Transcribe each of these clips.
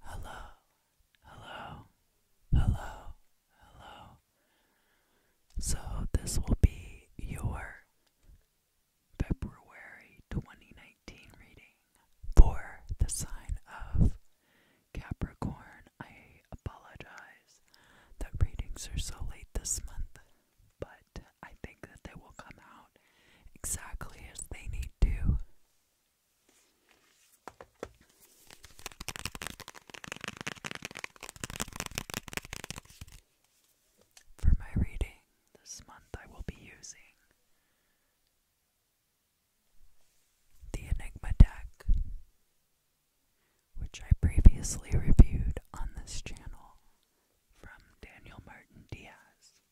Hello, hello, hello, hello. So, this will be your February 2019 reading for the sign of Capricorn. I apologize that readings are so late this month but I think that they will come out exactly as they need to. For my reading this month, I will be using the Enigma deck, which I previously reviewed on this channel from Daniel Martin Diaz.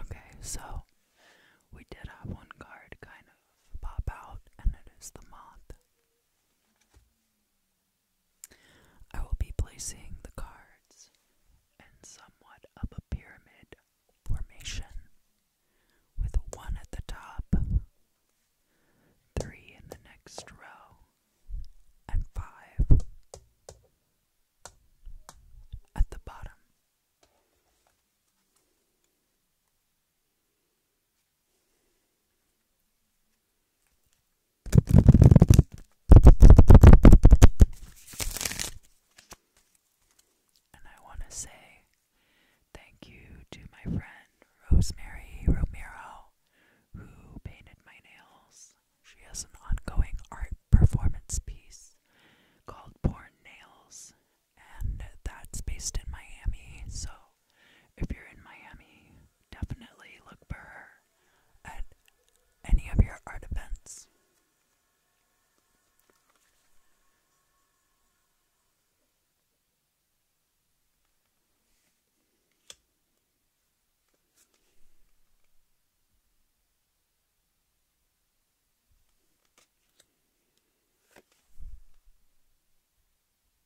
Okay, so we did have one card kind of pop out, and it is the moth. I will be placing the cards in somewhat of a pyramid formation with one at the top, three in the next row, and five at the bottom. And I want to say thank you to my friend Rosemary Romero, who painted my nails. She has an ongoing art performance piece called Porn Nails, and that's based in Miami, so if you're in Miami, definitely look for her at any of your art events.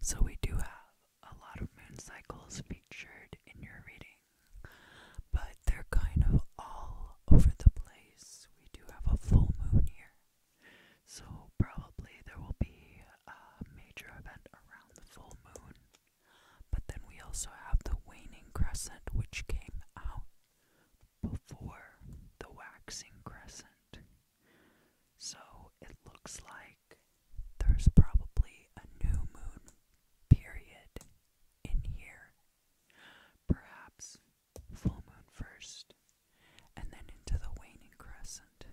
So, we do have a lot of moon cycles featured in your reading, but they're kind of all over the place. We do have a full moon here, so probably there will be a major event around the full moon. But then we also have the waning crescent, which came out before the waxing crescent. So it looks like there's probably a new moon period in here. Perhaps full moon first, and then into the waning crescent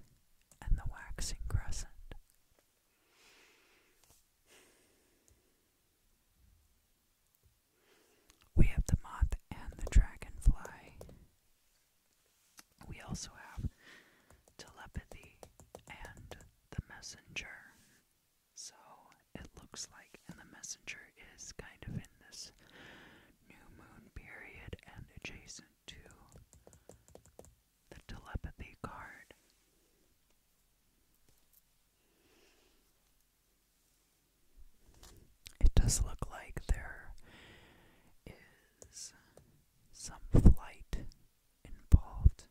and the waxing crescent. We have the moth and the dragonfly. We also have telepathy and the messenger. So it looks like, and the messenger is kind of in this new moon period and adjacent to the telepathy card. It does look like there is some flight involved.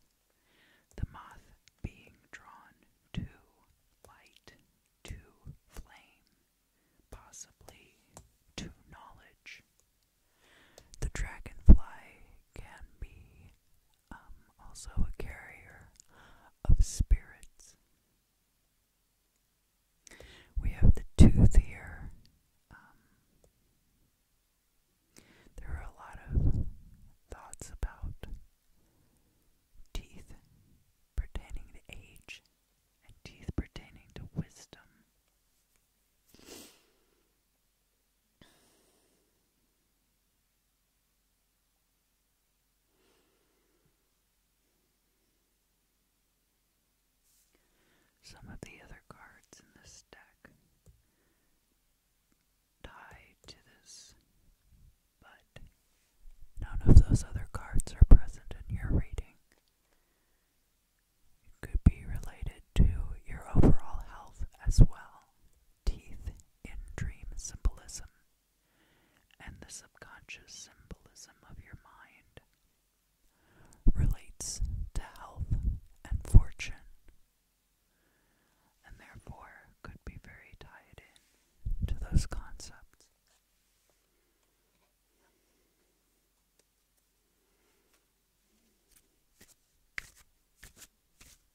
The moth being drawn to light, to flame, possibly to knowledge. The dragonfly can be also a carrier of spirits. We have the tooth here. Um, there are a lot of thoughts about teeth pertaining to age and teeth pertaining to wisdom. Some of the other cards in the stack tie to this, but none of those other cards are present in your reading. It could be related to your overall health as well. Teeth in dream symbolism and the subconscious symbolism of your mind relates to health and fortune, and therefore could be very tied in to those concepts.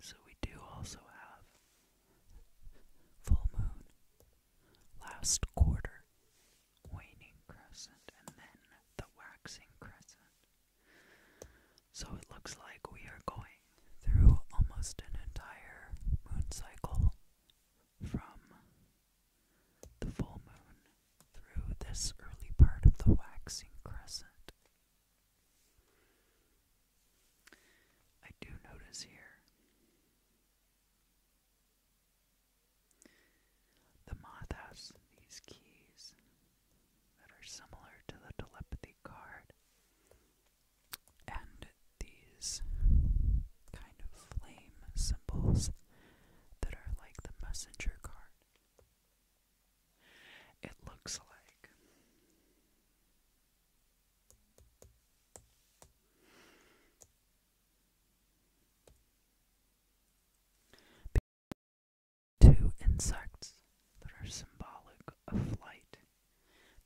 So we do also have full moon, last quarter, waning crescent, and then the waxing crescent. So it looks like we are going through almost an entire moon cycle from the full moon through this early part of the waxing crescent. I do notice here the moth has these keys that are similar to the telepathy card, and these kind of flame symbols that are like the messenger card. It looks like two insects that are symbolic of flight.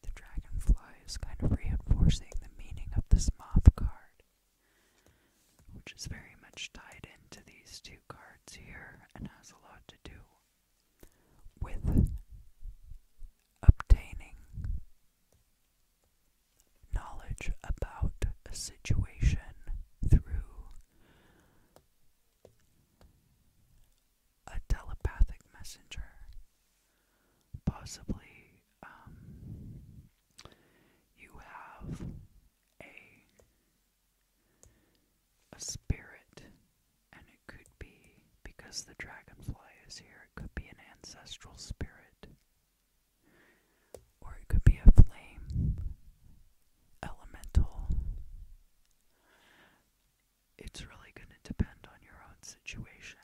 The dragonfly is kind of reinforcing the meaning of this moth card which is very much tied into these two cards here and has a lot to do with obtaining knowledge about a situation through a telepathic messenger, possibly. Um, you have a a spirit, and it could be because the dragonfly is here, it could be an ancestral spirit, or it could be a flame, elemental. It's really going to depend on your own situation,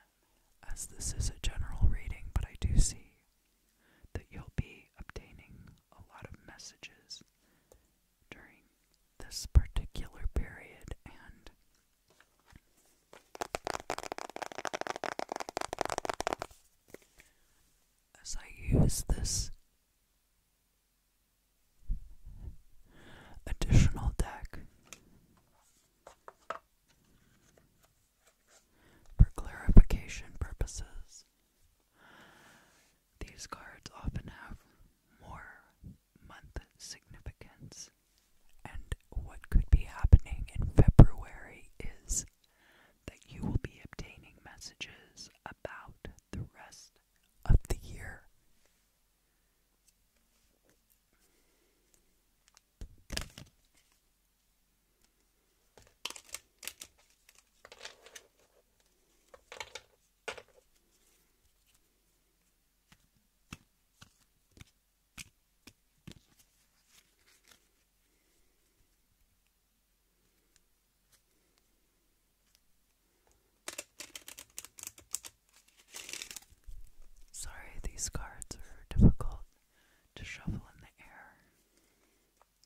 as this is a general reading, but I do see that you'll be obtaining a lot of messages during this particular period and as I use this additional deck for clarification purposes, these cards often have more month significance, and what could be happening in February is that you will be obtaining messages about the rest of the year. Sorry, these cards are difficult to shuffle in the air.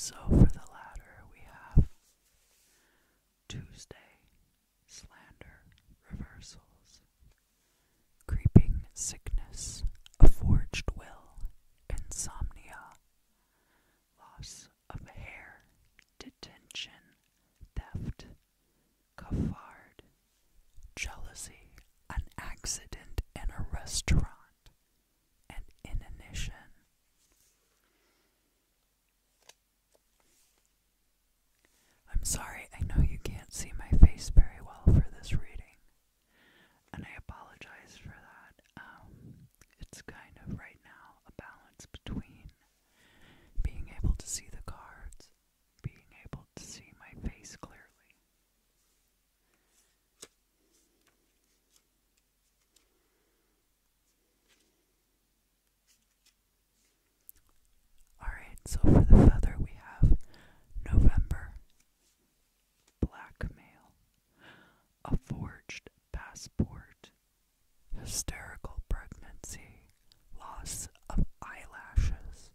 So for the latter, we have Tuesday, slander, reversals, creeping sickness, a forged will, insomnia, loss of hair, detention, theft, cafard, jealousy, an accident in a restaurant, and inanition. I'm sorry, I know you can't see my face very well for this reading and I apologize for that. Um, it's kind of right now a balance between being able to see the cards, being able to see my face clearly. Alright, so for the feather we have November, blackmail, a forged passport, hysterical pregnancy, loss of eyelashes,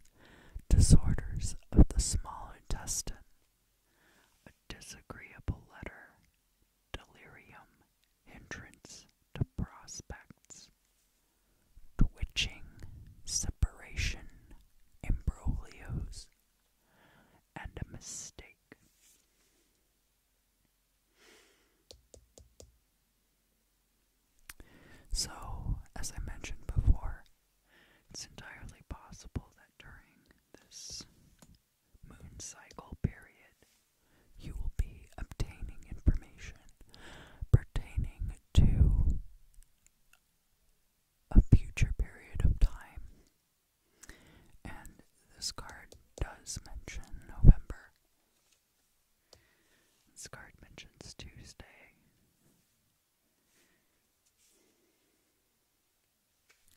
disorders of the small intestine, a disagreeable letter, delirium, entrance to prospects, twitching, separation, imbroglios, and a mistake. So, as I mentioned before, it's entirely possible that during this moon cycle period, you will be obtaining information pertaining to a future period of time and this card does mention November. This card mentions Tuesday.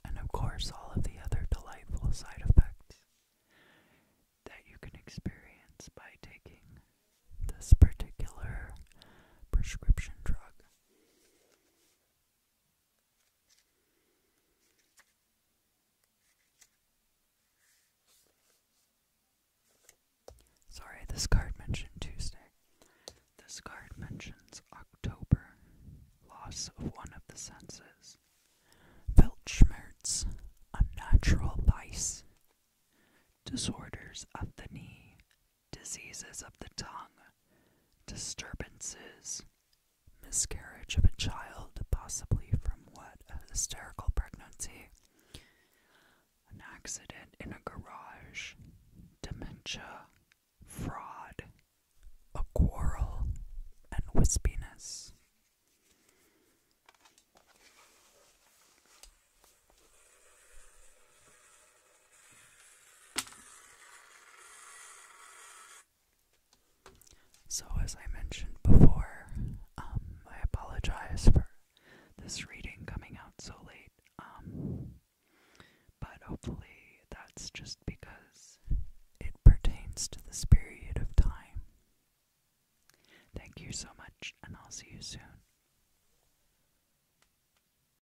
And of course, all of the other delightful side effects that you can experience by taking this particular prescription drug. Sorry, this card mentions Tuesday. This card mentions October, loss of one of the senses. Weltschmerz, unnatural vice. Disorders of the knee diseases of the tongue, disturbances, miscarriage of a child, possibly from what? A hysterical pregnancy, an accident in a garage, dementia, fraud, a quarrel, and wispiness. So, as I mentioned before, um, I apologize for this reading coming out so late, um, but hopefully that's just because it pertains to this period of time. Thank you so much, and I'll see you soon.